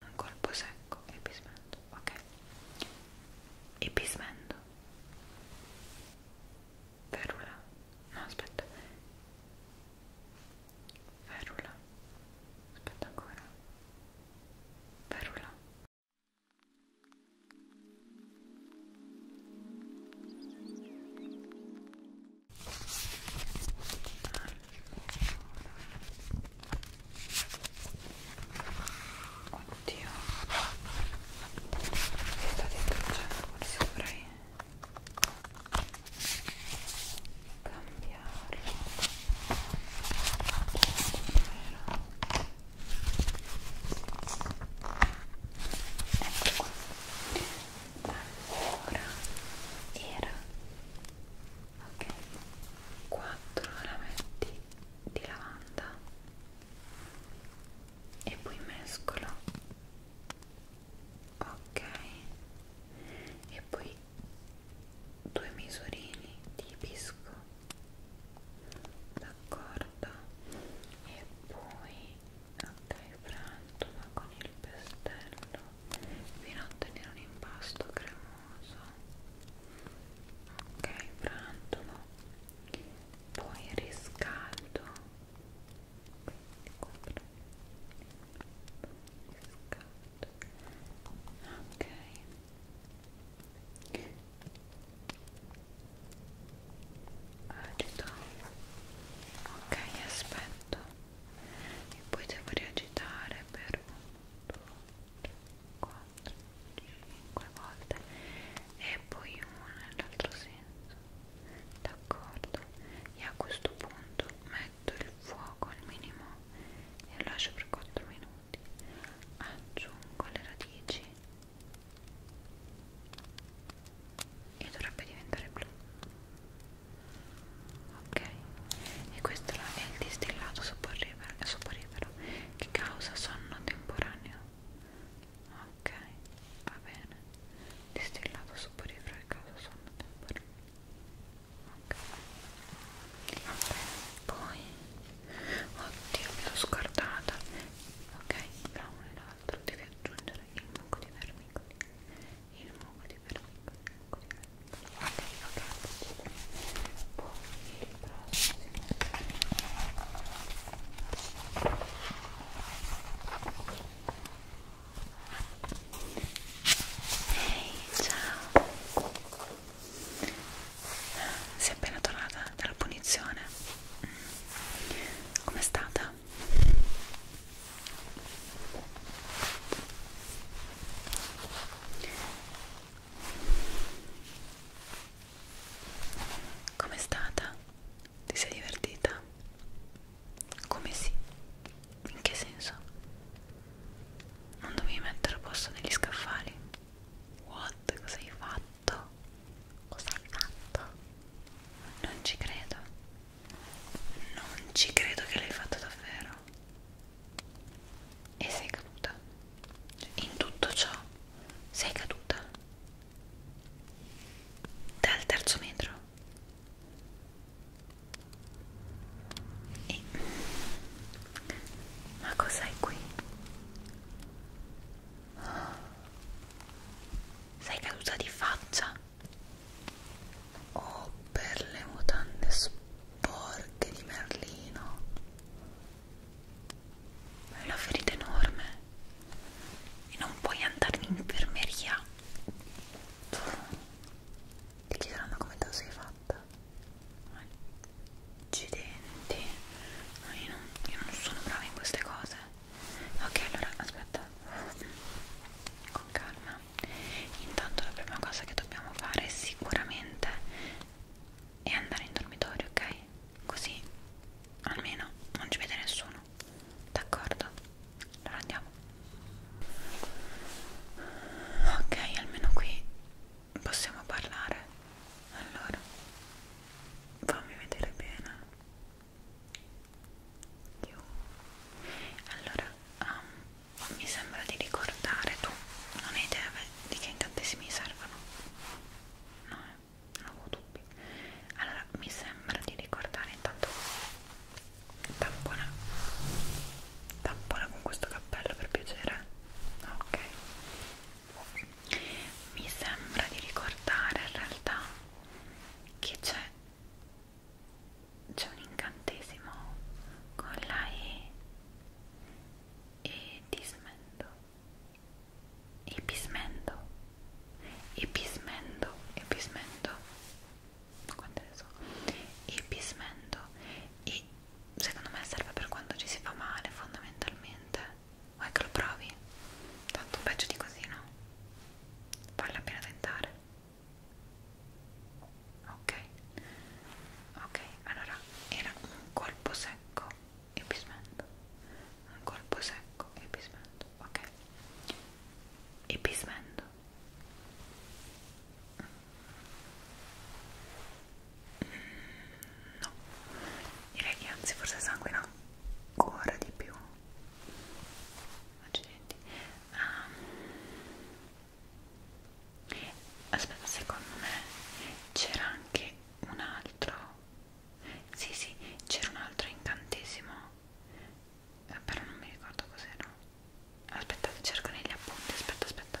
un colpo secco e pismento, ok? E pismento. Ferula. No, aspetta. Ferula. Aspetta ancora. Ferula. Oddio si sta distruggendo, forse cioè, dovrei cambiarlo ecco qua allora era ok 4 rametti di lavanda e poi mescolo ok e poi due misurini di pisco d'accordo e poi ok frantola con il pestello fino a ottenere un impasto cremoso ok frantolo poi riscaldo ok agito ok aspetto e poi devo riagitare per un, due, 4, 5 volte e poi una nell'altro senso d'accordo e a questo punto metto il fuoco al minimo e lo lascio per 4 minuti aggiungo le radici e dovrebbe diventare blu ok e questo è il distillato soporifero, soporifero che causa sonno temporaneo ok va bene distillato soporifero che causa sonno temporaneo ok va bene poi oddio mi l'ho scordata ok tra uno e l'altro devi aggiungere il mucco di vermicoli il mucco eccoli perfetto eccoli perfetto ok ok poi il prossimo ehi hey, ciao sei appena tornata dalla punizione com'è stata? Com'è stata? Ti sei divertita? Come sì? In che senso? Non dovevi mettere a posto negli scaffali? What? Cosa hai fatto? Cosa hai fatto? Non ci credo. Non ci credo che l'hai fatto davvero terra e sei caduta cioè, in tutto ciò sei caduta dal terzo metro e ma cos'hai qui? sei caduta di faccia oh per le mutande sporche porche di merlino è una ferita enorme e non puoi andare in infermeria ti chiederanno come te lo sei fatta accidenti no, io, non, io non sono brava in queste cose ok allora aspetta con calma Intanto la prima cosa che dobbiamo fare sicuramente è andare in dormitorio, ok? Così almeno non ci vede nessuno. D'accordo? Allora andiamo. Ok, almeno qui possiamo parlare. Allora, fammi vedere bene. Io. Allora, um, mi sembra di ricordare tu non hai idea di che incantesimi servono no eh, non avevo dubbi allora mi sembra di ricordare intanto tappola tappola con questo cappello per piacere ok mi sembra di ricordare in realtà che c'è c'è un incantesimo con la E e dismendo e pismendo e pismendo e pismendo quante ne so e pismendo e secondo me serve per quando ci si fa male fondamentalmente vuoi che lo provi? tanto peggio di così no? vale la pena tentare ok ok allora era un colpo secco e bismento un colpo secco e bismento ok e bismento mm, no direi che anzi forse sanguina ancora di più accidenti um, aspetta secondo me c'era anche un altro sì sì c'era un altro incantesimo eh, però non mi ricordo cos'era aspettate cerco negli appunti aspetta aspetta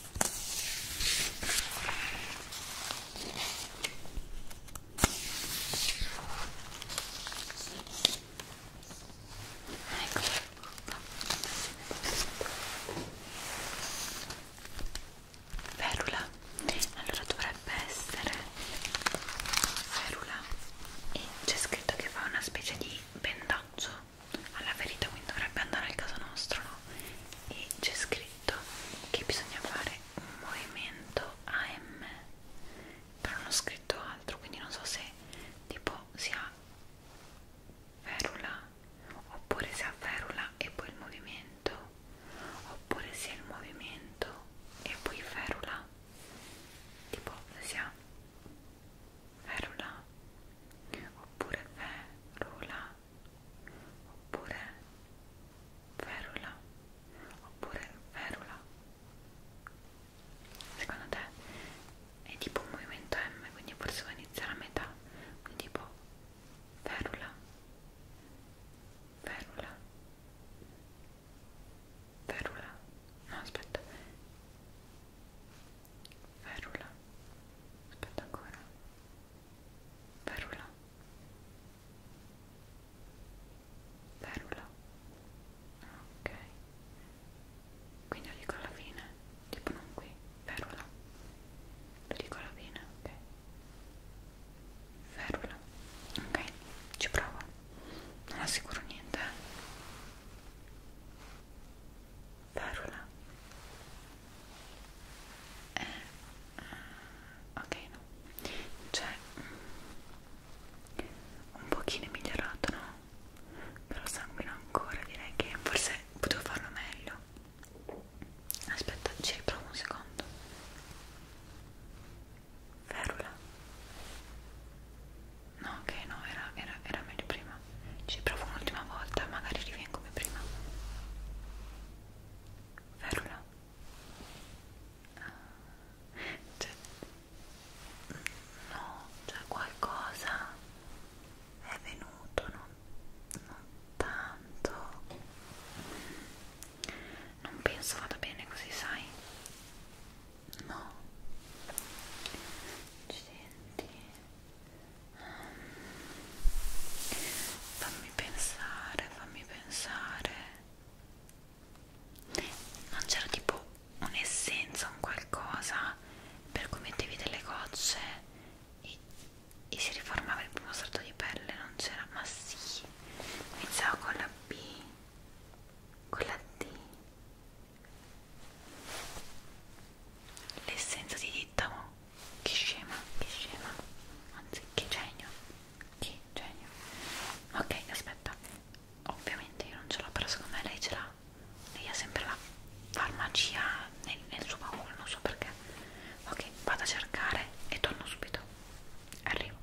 Ferula, allora dovrebbe essere ferula e c'è scritto che fa una specie di pendaggio alla ferita, quindi dovrebbe andare al caso nostro, no? E c'è scritto detto che bisogna fare un movimento AM però non ho scritto altro quindi non so se tipo si ha ferula oppure si ha ferula e poi il movimento oppure si ha il movimento e poi ferula tipo si ha ferula oppure ferula oppure ferula, oppure ferula. Secondo te è tipo un movimento M, quindi forse può iniziare a metà, quindi tipo ferula, ferula, ferula, no aspetta, ferula, aspetta ancora. Perula. Perula. Ok. Quindi lo dico alla fine, tipo non qui, perula. Lo dico alla fine, ok. Ferula. Ok, ci provo. Non assicuro niente. Ferula. Eh eh, ok no cioè mm, un pochino migliorato no però sanguina ancora direi che forse potevo farlo meglio aspetta ci riprovo un secondo ferula no ok no era, era, era meglio prima ci provo un'ultima volta magari rivengo come prima ferula cioè, no, cioè qualcosa è venuto non, non tanto non penso vada bene così sai no accidenti fammi pensare fammi pensare non c'era tipo un'essenza un qualcosa per cui mettevi delle gocce e, e si riformava il primo strato di pelle non c'era ma sì iniziava con la B con la D l'essenza di dittamo che scema, che scema, anzi che genio, che genio. Ok, aspetta, ovviamente io non ce l'ho, però secondo me lei ce l'ha. Lei ha sempre la farmacia nel, nel suo baule, non so perché. Ok, vado a cercare e torno subito. Arrivo.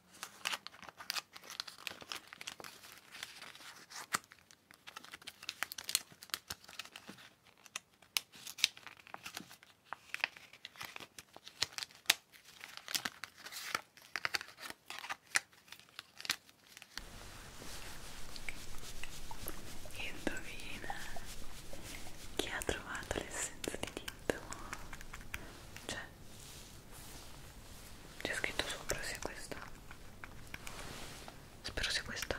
Indovina chi ha trovato l'essenza di Tintamo? Cioè, c'è scritto sopra sia questa spero sia questa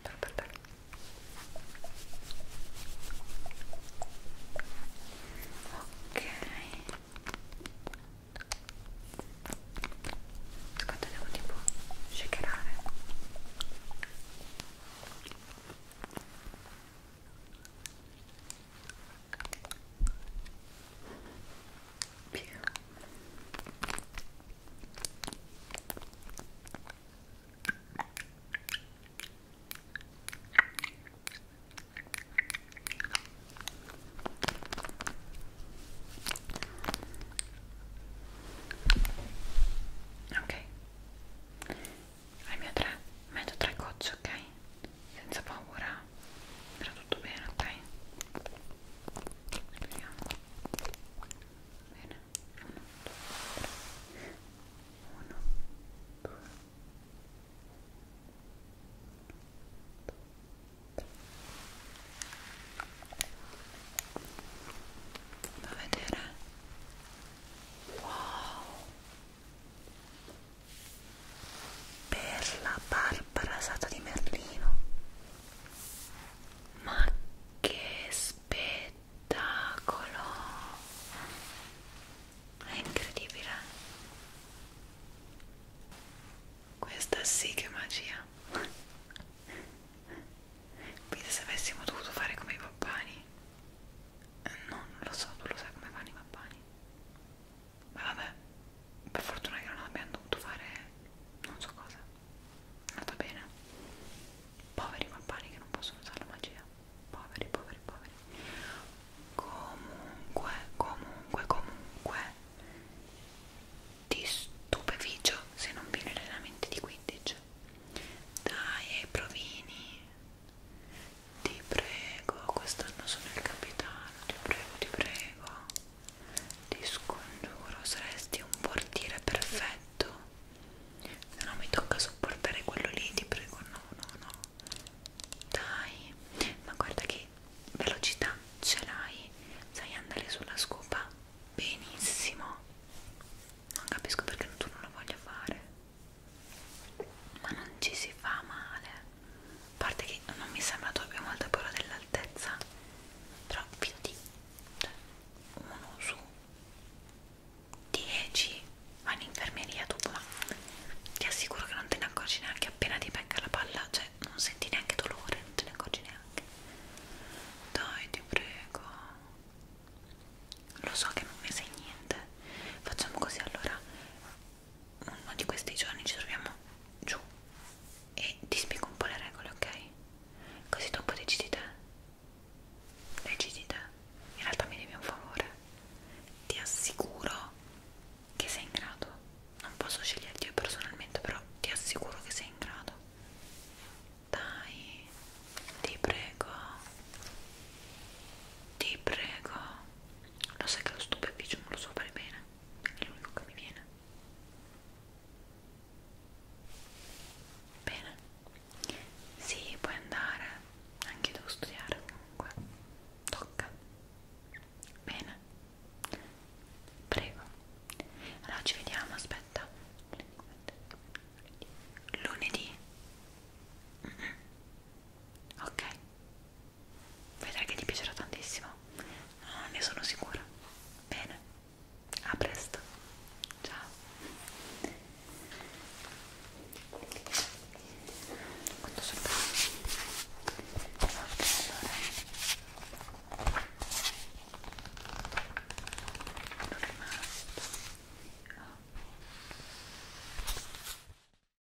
spero per te ok secondo devo tipo shakerare Via. Ok, al mio 3 metto 3 gocce, ok? senza paura era tutto bene ok vediamo bene 1 2 da vedere wow per la barba rasata di Merlino ma che spettacolo è incredibile questa sì che è magia Vedi se avessimo dovuto fare come i pappani eh, no non lo so tu lo sai come fanno i pappani ma vabbè per fortuna che non abbiamo dovuto fare non so cosa è andato bene poveri pappani che non possono usare la magia poveri poveri poveri comunque comunque comunque ti stupefigio se non vieni allenamenti di 15 dai provini ti prego, quest'anno sono il capitano, ti prego, ti prego. Ti scongiuro, saresti un portiere perfetto. Se no mi tocca sopportare quello lì, ti prego, no, no, no. Dai, ma guarda che velocità ce l'hai. Sai andare sulla scopa benissimo. Non capisco perché tu non lo voglia fare. Ma non ci si fa male parte che non mi sembra tu abbia molta paura dell'altezza però fidati cioè, uno su 10 vai in infermeria tu ma ti assicuro che non te ne accorgi neanche appena ti becca la palla cioè non senti neanche dolore non te ne accorgi neanche dai ti prego lo so che non mi sai niente facciamo così allora uno di questi giorni ci troviamo giù e ti spiego un po' le regole, ok? Così dopo decidi te. Decidi te. In realtà mi devi un favore. Ti assicuro che sei in grado. Non posso sceglierti io personalmente, però ti assicuro che sei in grado. Dai, ti prego. Ti prego. Lo sai che lo stupeficio non lo so fare bene, è l'unico che mi viene. Bene, sì, puoi andare, anche devo studiare comunque. Tocca. Bene, prego. Allora ci vediamo, aspetta. Lunedì. Mm -hmm. Ok, vedrai che ti piacerà tantissimo no, ne sono sicura bene a presto ciao quanto sono ok allora non rimasto oh.